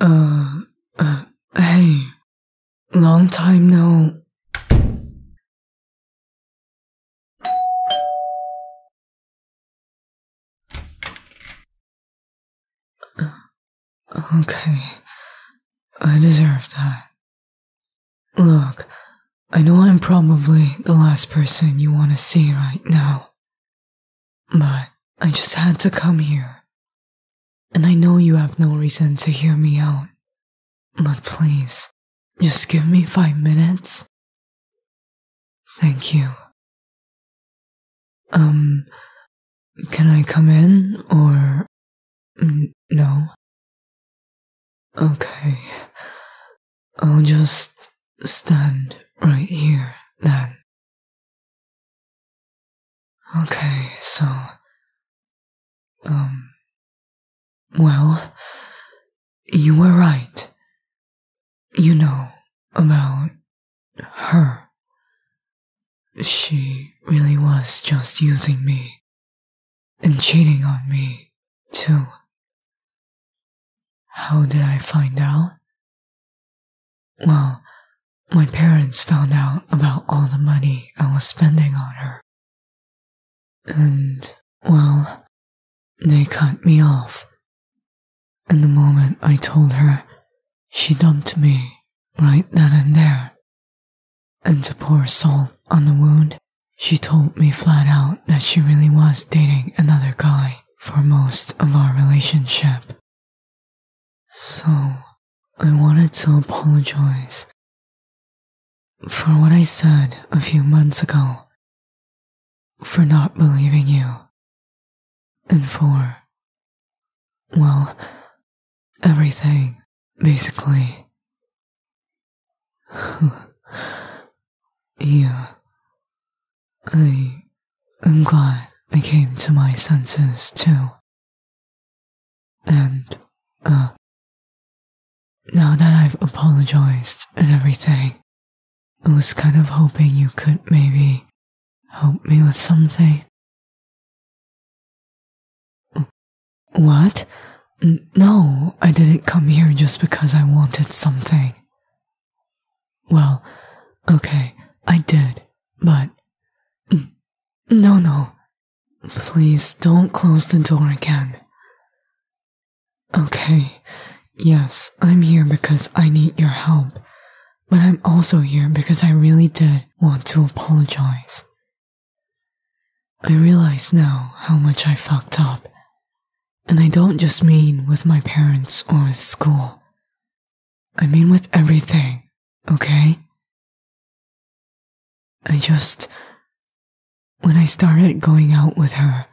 Uh, uh, hey, long time no. Uh, okay, I deserve that. Look, I know I'm probably the last person you want to see right now. But I just had to come here. And I know you have no reason to hear me out. But please, just give me five minutes. Thank you. Um, can I come in or no? Okay. I'll just stand right here then. Okay, so. Um. Well, you were right. You know about her. She really was just using me and cheating on me, too. How did I find out? Well, my parents found out about all the money I was spending on her. And, well, they cut me off. And the moment I told her, she dumped me right then and there. And to pour salt on the wound, she told me flat out that she really was dating another guy for most of our relationship. So, I wanted to apologize for what I said a few months ago, for not believing you, and for, well, everything, basically. yeah. I am glad I came to my senses too. And, uh, now that I've apologized and everything, I was kind of hoping you could maybe help me with something. What? no, I didn't come here just because I wanted something. Well, okay, I did, but. No, no. Please don't close the door again. Okay, yes, I'm here because I need your help, but I'm also here because I really did want to apologize. I realize now how much I fucked up, and I don't just mean with my parents or with school. I mean with everything, okay? I just. When I started going out with her,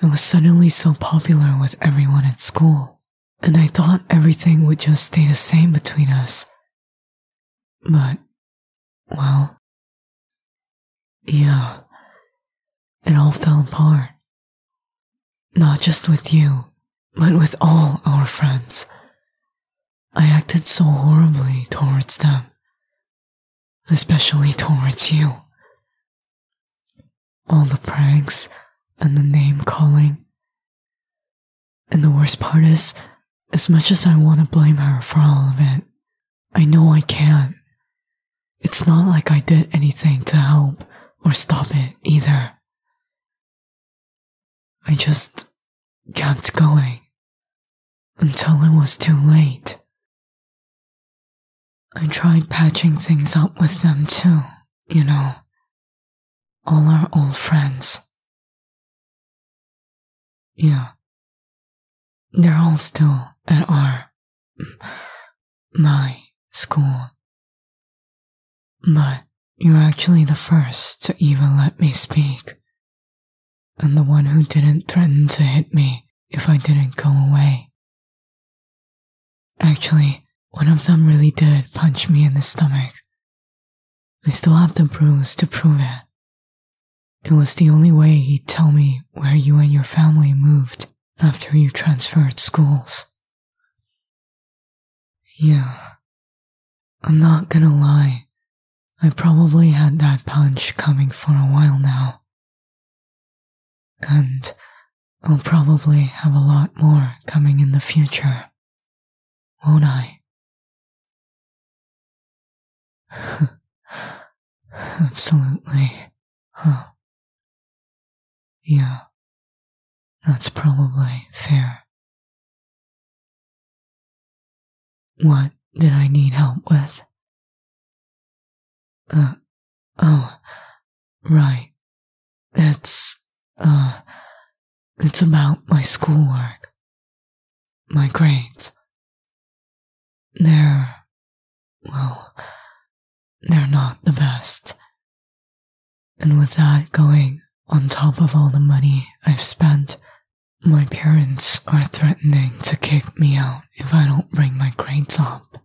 I was suddenly so popular with everyone at school, and I thought everything would just stay the same between us. But, well, yeah, it all fell apart. Not just with you, but with all our friends. I acted so horribly towards them, especially towards you. All the pranks and the name calling. And the worst part is, as much as I want to blame her for all of it, I know I can. not It's not like I did anything to help or stop it either. I just kept going until it was too late. I tried patching things up with them too, you know. All our old friends. Yeah, they're all still at our. my school. But you're actually the first to even let me speak. And the one who didn't threaten to hit me if I didn't go away. Actually, one of them really did punch me in the stomach. I still have the bruise to prove it. It was the only way he'd tell me where you and your family moved after you transferred schools. Yeah. I'm not gonna lie. I probably had that punch coming for a while now. And I'll probably have a lot more coming in the future, won't I? Absolutely. Huh. Yeah. That's probably fair. What did I need help with? Uh, oh, right. It's, uh, it's about my schoolwork. My grades. They're. well, they're not the best. And with that going on top of all the money I've spent, my parents are threatening to kick me out if I don't bring my grades up.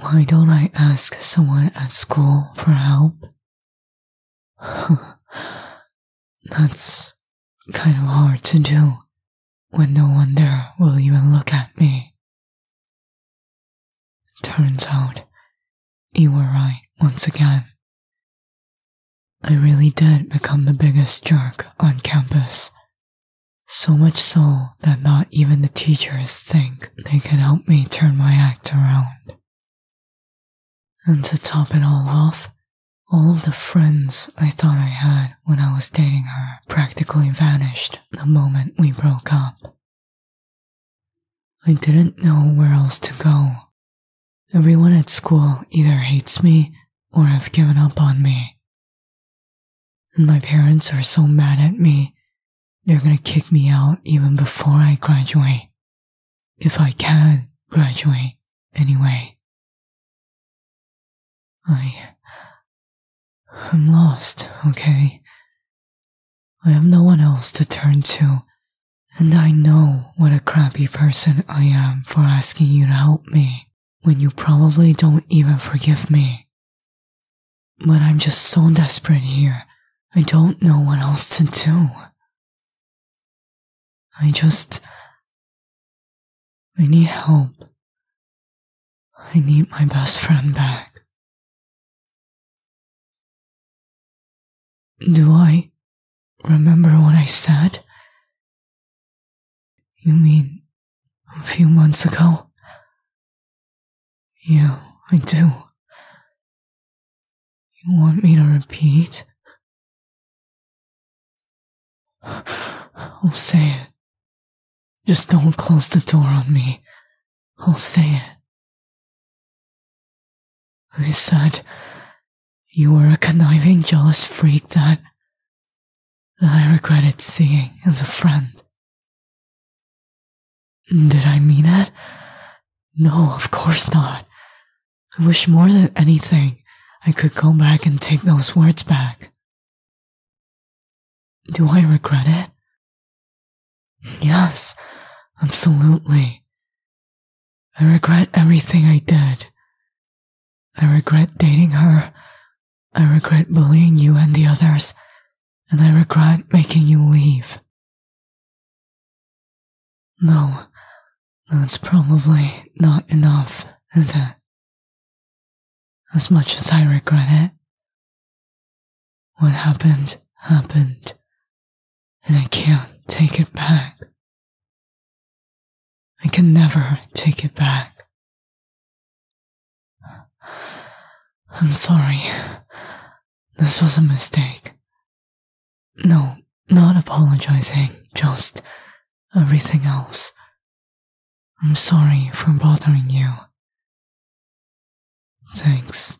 Why don't I ask someone at school for help? That's Kind of hard to do when no one there will even look at me. Turns out, you were right once again. I really did become the biggest jerk on campus. So much so that not even the teachers think they can help me turn my act around. And to top it all off, all the friends I thought I had when I was dating her practically vanished the moment we broke up. I didn't know where else to go. Everyone at school either hates me or have given up on me. And my parents are so mad at me, they're gonna kick me out even before I graduate. If I can graduate, anyway. I. am lost, okay? I have no one else to turn to, and I know what a crappy person I am for asking you to help me when you probably don't even forgive me. But I'm just so desperate here, I don't know what else to do. I just I need help. I need my best friend back. Do I remember what I said? You mean a few months ago? Yeah, I do. You want me to repeat? I'll say it. Just don't close the door on me. I'll say it. I said you were a conniving, jealous freak that, I regretted seeing as a friend. Did I mean it? No, of course not. I wish more than anything I could go back and take those words back. Do I regret it? Yes, absolutely. I regret everything I did. I regret dating her. I regret bullying you and the others. And I regret making you leave. No, that's probably not enough, as much as I regret it, what happened happened, and I can't take it back. I can never take it back. I'm sorry. This was a mistake. No, not apologizing, just everything else. I'm sorry for bothering you. Thanks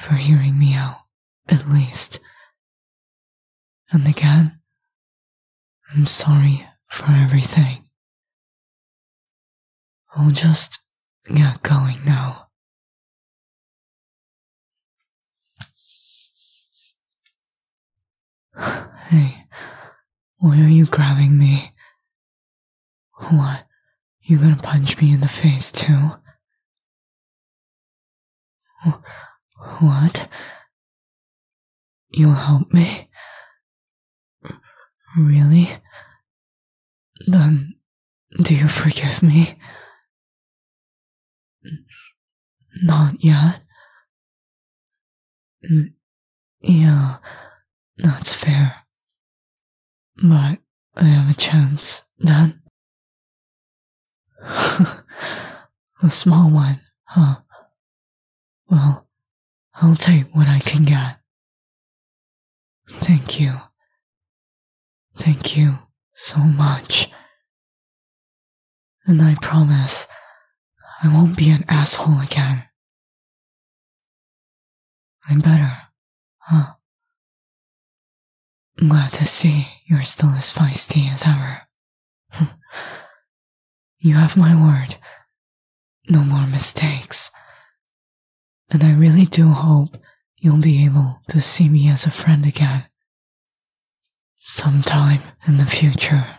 for hearing me out, at least. And again, I'm sorry for everything. I'll just get going now. Hey, why are you grabbing me? What? You gonna punch me in the face too? what? You'll help me? really? Then, do you forgive me? not yet. Mm, yeah, that's fair. But I have a chance, Dad. a small one, huh? Well, I'll take what I can get. Thank you. Thank you so much. And I promise I won't be an asshole again. I'm better, huh? I'm glad to see you're still as feisty as ever. you have my word. No more mistakes. And I really do hope you'll be able to see me as a friend again. Sometime in the future.